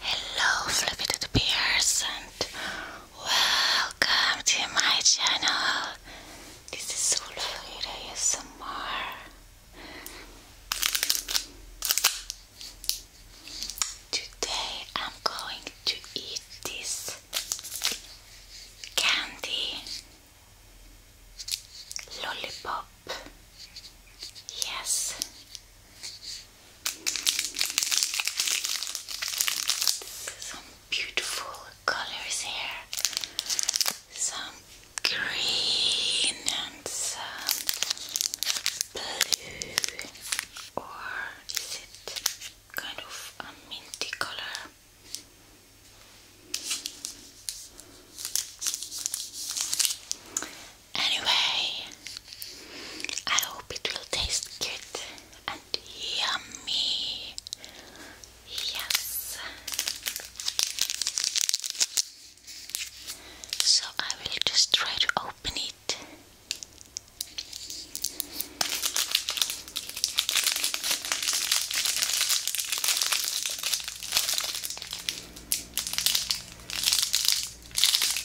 Hello, Fluffy to the Bears, and welcome to my channel. This is Sulfurida ASMR. Today I'm going to eat this candy lollipop. Yes, some beautiful colors here. Some green and some blue. Or is it kind of a minty color? Anyway, I hope it will taste good and yummy. Yes. So I will just try to open it.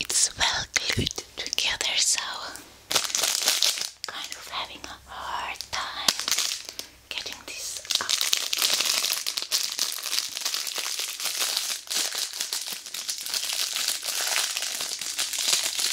It's well glued together, so kind of having a hard time getting this up.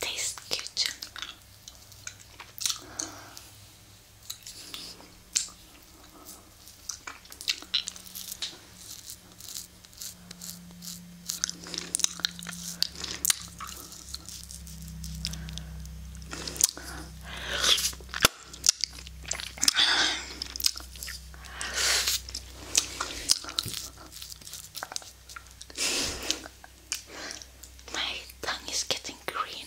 Taste kitchen. My tongue is getting green.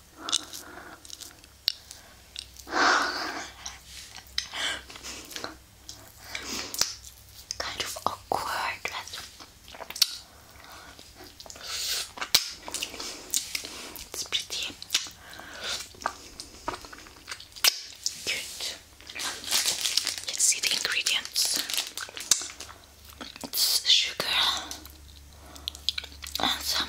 kind of awkward. It's pretty good. Let's see the ingredients. It's sugar and some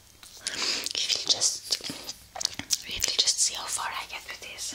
We will just we will just see how far I get with this.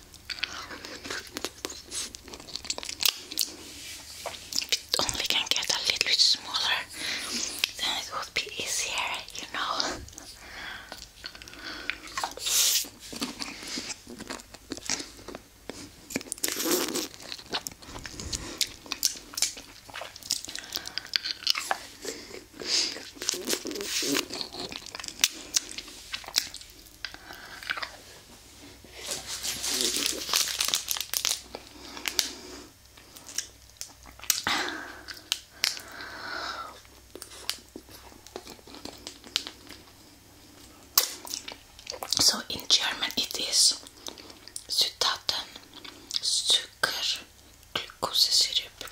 It only can get a little bit smaller, then it would be easier, you know. So in German it is Zutaten, Zucker, glucose syrup,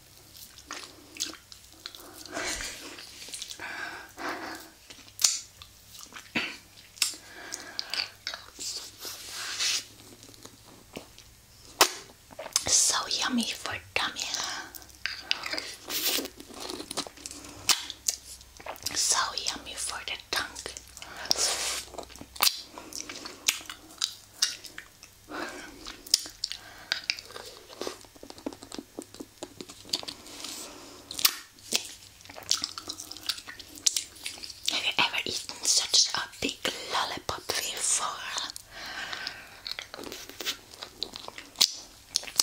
so yummy for tummy. So yummy for the tongue. Have you ever eaten such a big lollipop before?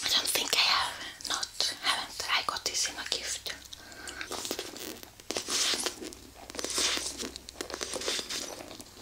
I don't think I have. Not haven't. I got this in a gift.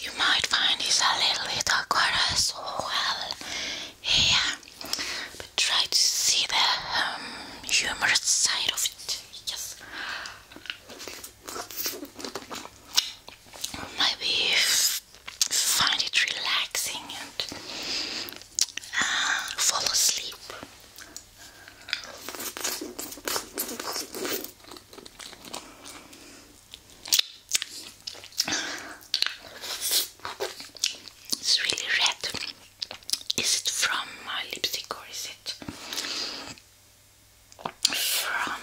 You might find he's a little bit awkward, so well here, but try to see the um, humorous side of it. Yes. Maybe find it relaxing and uh, fall asleep. It's really red. Is it from my lipstick or is it from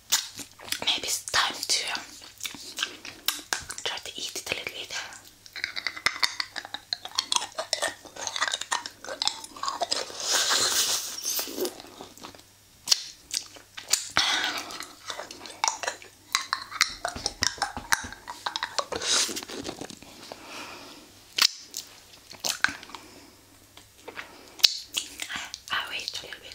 maybe it's time to um, try to eat it a little bit. I, wait a little bit.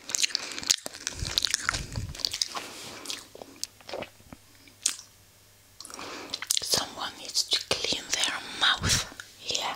Someone needs to clean their mouth here.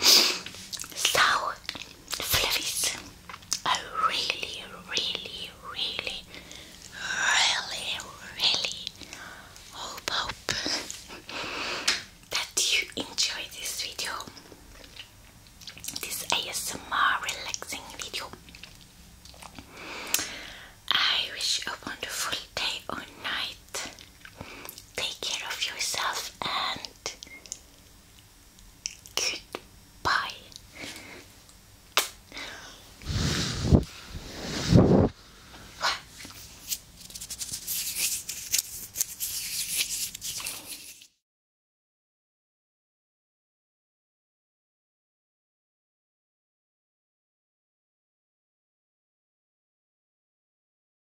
So, fluffies, I really, really, really, really, really hope, that you enjoyed this video, this ASMR relaxing video. I wish a wonderful day or night. Take care of yourself and goodbye.